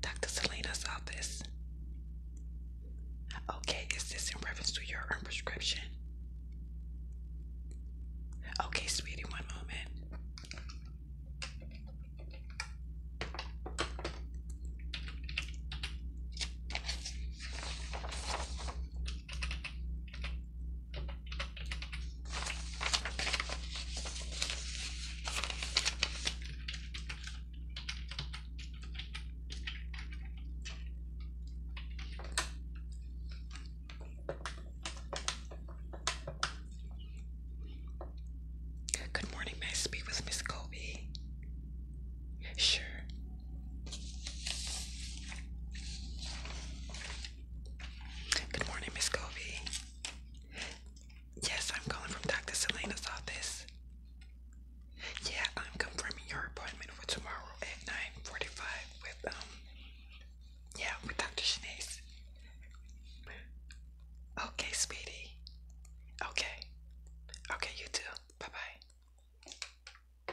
Dr. Selena's office. Okay, is this in reference to your um, prescription? Okay, sweetie, one moment. Good morning, may I speak with Miss Kobe. Sure. Good morning, Miss Kobe. Yes, I'm calling from Dr. Selena's office. Yeah, I'm confirming your appointment for tomorrow at 9.45 with, um, yeah, with Dr. Shanace. Okay, sweetie. Okay. Okay, you too. Bye-bye.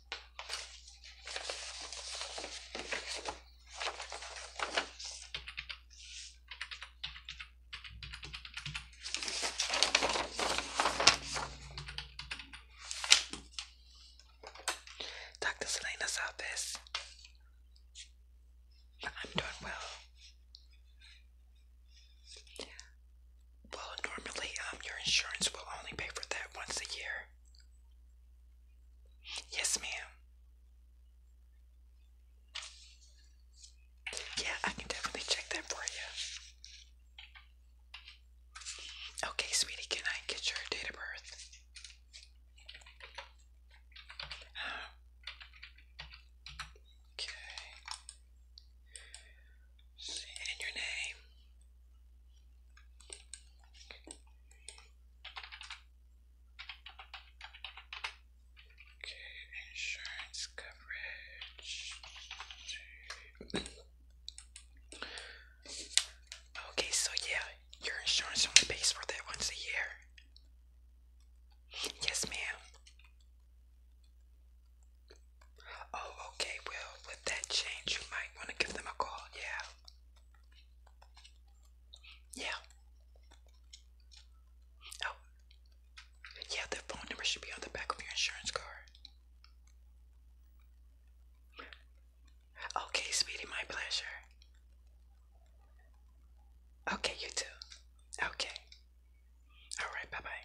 Dr. Selena's office. I'm doing well. Well, normally um, your insurance will only pay for that once a year. Yes, ma'am. Yeah, I can definitely check that for you. Okay, sweetie, can I get your date of birth? Uh, okay in your name. Okay, insurance coverage. okay, so yeah, your insurance only pays for that once a year. Yes, ma'am. Oh, okay. Well, with that change, you might want to give them a call. Yeah. Yeah. Oh. Yeah, the phone number should be on the back of your insurance card. Okay, sweetie, my pleasure. Okay, you too. Okay. All right, bye bye.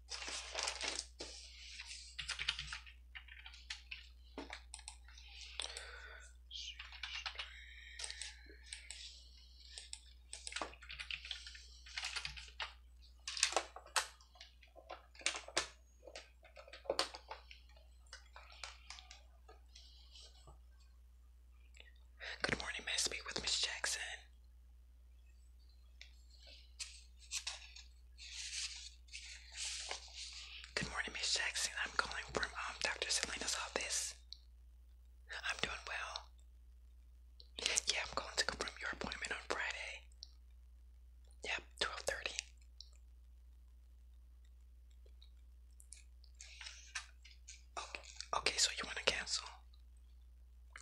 Good morning, may I speak with Miss Jackson? Good morning, Miss Jackson. I'm calling from um, Dr. Selena's office. I'm doing well. Yeah, I'm calling to confirm your appointment on Friday. Yep, twelve thirty. Okay, okay, so you want to cancel?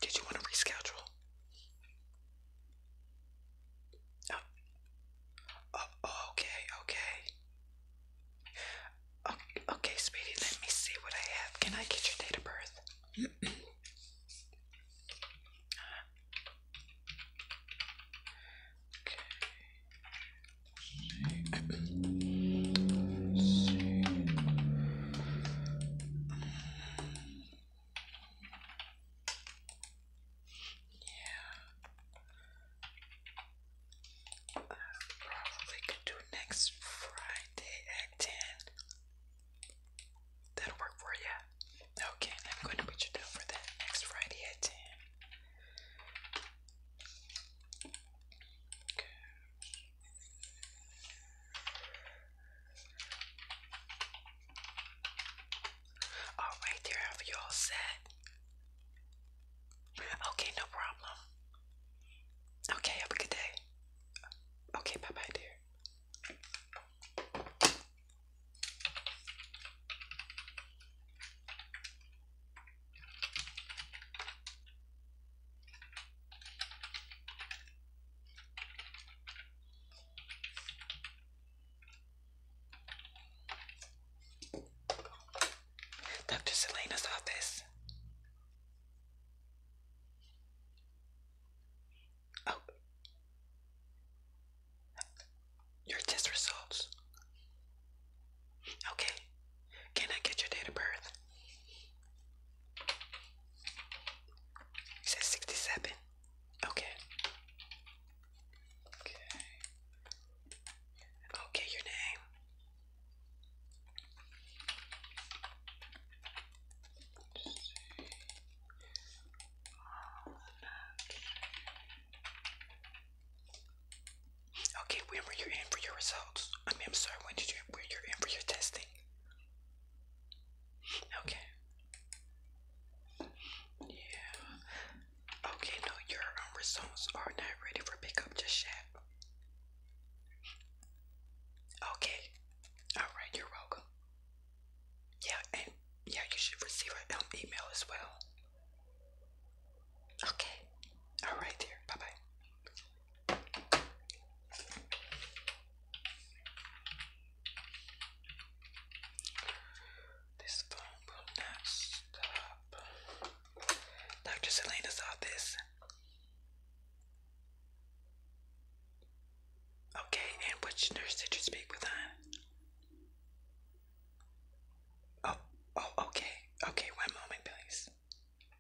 Did you want to reschedule? Oh. oh, okay, okay. Oh, okay, sweetie, let me see what I have. Can I get your date of birth? Yeah. I probably could do next Friday at 10. That'll work for you. Okay, I'm going to put you down for that next Friday at 10. Okay. All right, there, have you all set? Okay, no problem. Okay, have a good day. Okay, bye bye, dear. Dr. Selena's office. Oh. Your test results. Okay. Can I get your date of birth? It says 67. Okay. Okay. Okay, your name. Okay, when were you in for your results? I am sorry, when were you in for your testing? Okay. Yeah. Okay, no, your um, results are not ready for pickup just yet. Okay. Alright, you're welcome. Yeah, and yeah, you should receive an um, email as well. Okay. Alright, dear. Bye bye. This phone will not stop. Dr. Selena's office. Okay, and which nurse did you speak with on? Oh, oh, okay. Okay, one moment, please.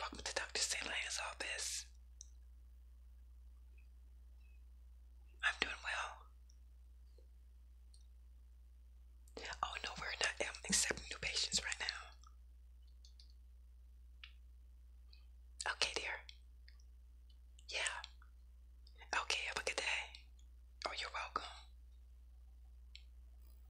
Welcome to Dr. St. Lang's office. I'm doing well. Oh no, we're not um, accepting new patients right now. Okay, dear. Yeah. Okay, have a good day. Oh, you're welcome.